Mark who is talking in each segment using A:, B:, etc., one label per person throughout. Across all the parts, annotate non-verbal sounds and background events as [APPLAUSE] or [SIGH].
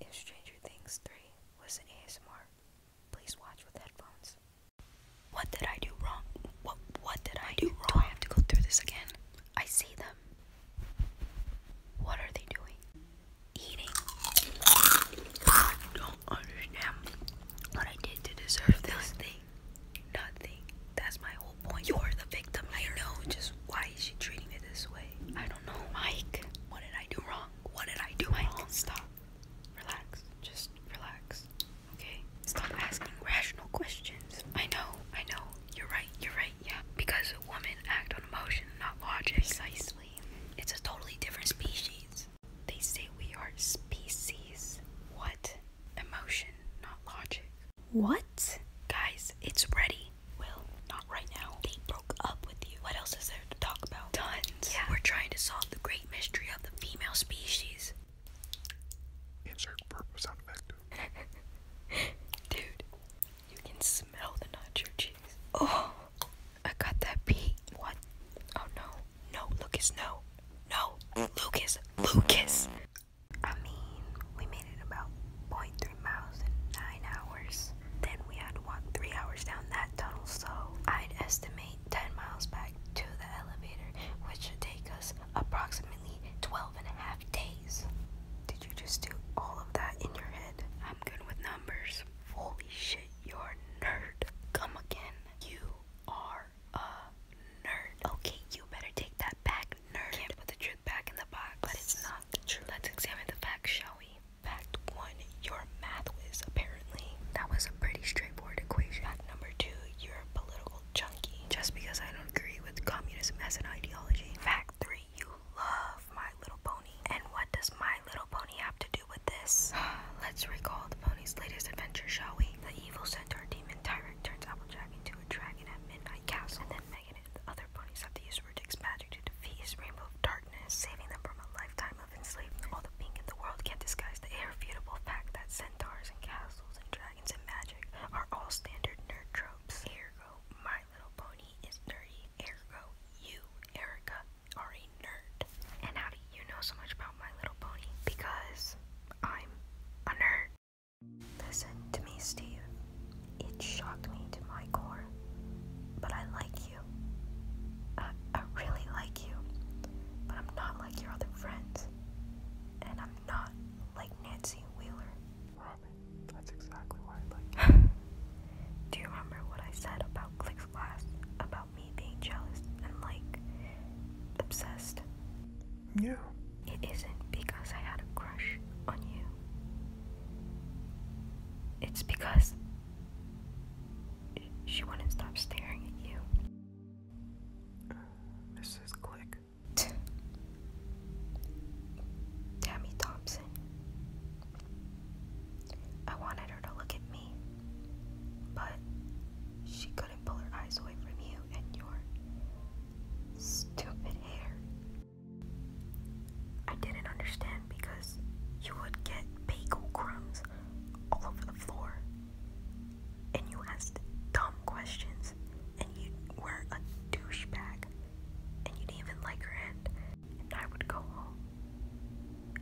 A: If Stranger Things 3 was an ASMR, please watch with headphones. What did I do wrong? What did I, do wrong? Do I have to go through this again? I see them. What are they doing? Eating. don't understand what I did to deserve this. Nothing. Nothing. That's my whole point. You're the victim. I know. Just why why is she treating it this way? I don't know, Mike. What did I do wrong? What did I do wrong? Stop. Relax. Just relax. Okay? Stop asking rational questions. I know, I know. You're right, you're right, yeah. Because women act on emotion, not logic. Precisely. It's a totally different species. They say we are species. What? Emotion, not logic. What? Guys, it's ready. Well, not right now. They broke up with you. What else is there to talk about? Tons. We're trying to solve the great mystery of the female species. Insert purple sound effect. [LAUGHS] Dude, you can smell the nacho cheese. Oh, I got that beat. What? Oh no. No, Lucas, no. No, Lucas, Lucas. I mean, we about 0.3 miles in 9 hours. Then we had to walk 3 hours down that tunnel, so I'd estimate 10 miles back to the elevator, which should take us approximately 12 days. Did you just do all of that in your head? I'm good with numbers. Holy shit, you're a nerd. Come again. You are a nerd. Okay, you better take that back, nerd back in the box, but it's not true. Let's examine the facts, shall we? Fact one, your math whiz, apparently. That was a pretty straightforward equation. Fact number two, you're a political junkie. Just because I don't agree with communism as an ideology. Fact three, you love My Little Pony. And what does My Little Pony have to do with this? [SIGHS] Let's recall the pony's latest adventure, shall we? The evil centaur demon Tyrant turns Applejack into a dragon at Midnight Castle. And then negative. The other ponies have to use Rudick's magic to defeat his rainbow of darkness, saving them from a lifetime of enslavement. All the pink in the world can't disguise the irrefutable fact that centaurs and castles and dragons and magic are all standard nerd tropes. Ergo, my little pony is nerdy. Ergo, you, Erica, are a nerd. And how do you know so much about My Little Pony? Because I'm a nerd. Listen to me, Steve. It shocked me to my core. But I like you. I, I really like you. But I'm not like your other friends. And I'm not like Nancy Wheeler. Robin, that's exactly why I like [LAUGHS] Do you remember what I said about Click's class? About me being jealous and like obsessed? Yeah. It isn't because I had a crush on you. It's because she wouldn't stop staring at you. Mrs. Click. Tammy Thompson. I wanted her to look at me, but she couldn't pull her eyes away from you and your stupid hair I didn't understand because you would get bagel crumbs all over the floor. And you asked dumb questions, and you were a douchebag, and you didn't even like her hand. And I would go home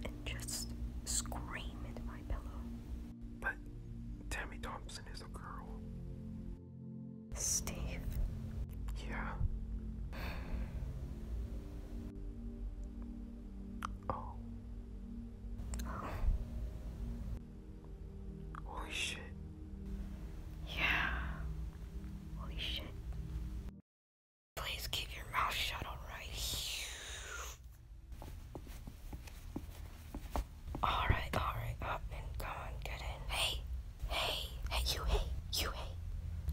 A: and just scream into my pillow. But Tammy Thompson is a girl. Steve. Yeah. Oh. Holy shit. Yeah. Holy shit. Please keep your mouth shut, alright? All right, all right, up and come on, get in. Hey, hey, hey, you, hey, you, hey.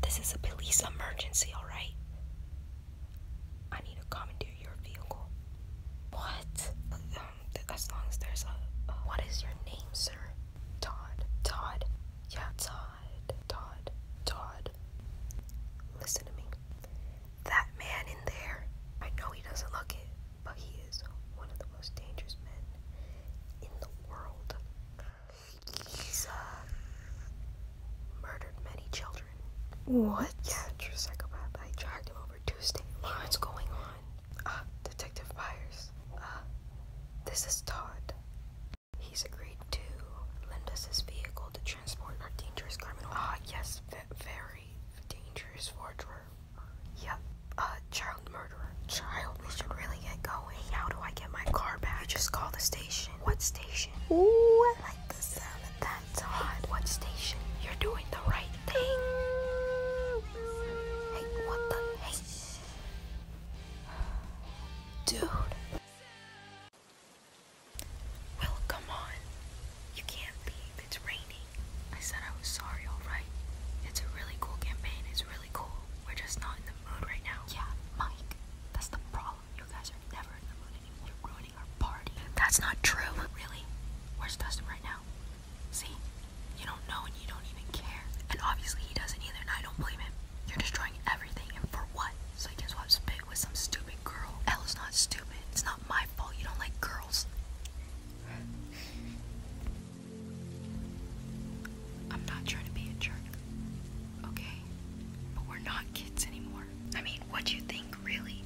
A: This is a police emergency, all right? I need to commandeer your vehicle. What? Um, as long as there's a, What is your name, sir? Todd. Todd. Yeah, Todd. Todd. Todd. Listen to me. That man in there, I know he doesn't look it, but he is one of the most dangerous men in the world. He's uh, murdered many children. What? Yeah, true psychopath. I dragged him over Tuesday. What's going on? Uh, Detective Byers. Uh, this is Todd. He's agreed to lend us his vehicle to transport our dangerous criminal. Ah, yes, very dangerous forgery. Yep, uh, child murderer. Child, we should really get going. How do I get my car back? I just call the station. What station? Ooh, I like the sound of that. It's hot. What station? You're doing the right thing. Hey, what the? Hey. Dude. Well, come on. You can't leave. It's raining. I said I was sorry, alright? It's a really cool campaign, it's really cool. We're just not in the mood right now. Yeah, Mike, that's the problem. You guys are never in the mood anymore. You're ruining our party. That's not true. really, where's Dustin right now? See? You don't know and you don't even care. And obviously he doesn't either, and I don't blame him. You're destroying everything, and for what? So you can swap spit with some stupid girl. Ella's not stupid. It's not my fault you don't like girls. I'm not trying to be a jerk, okay? But we're not kids anymore. I mean, what do you think, really?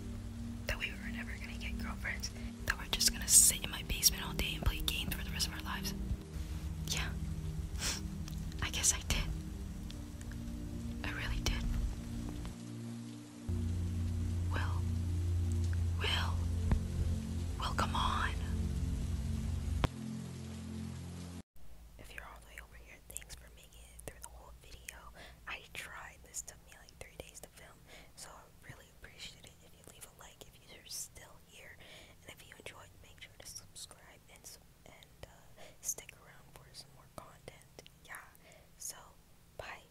A: That we were never gonna get girlfriends? That we're just gonna sit in my basement all day and play games for the rest of our lives? Yeah. [LAUGHS] I guess I did. I really did. Will, Will, Will, come on. If you're all the way over here, thanks for making it through the whole video. I tried, this took me like three days to film, so I really appreciate it if you leave a like if you're still here. And if you enjoyed, make sure to subscribe and, uh, stick around for some more content. Yeah, so bye.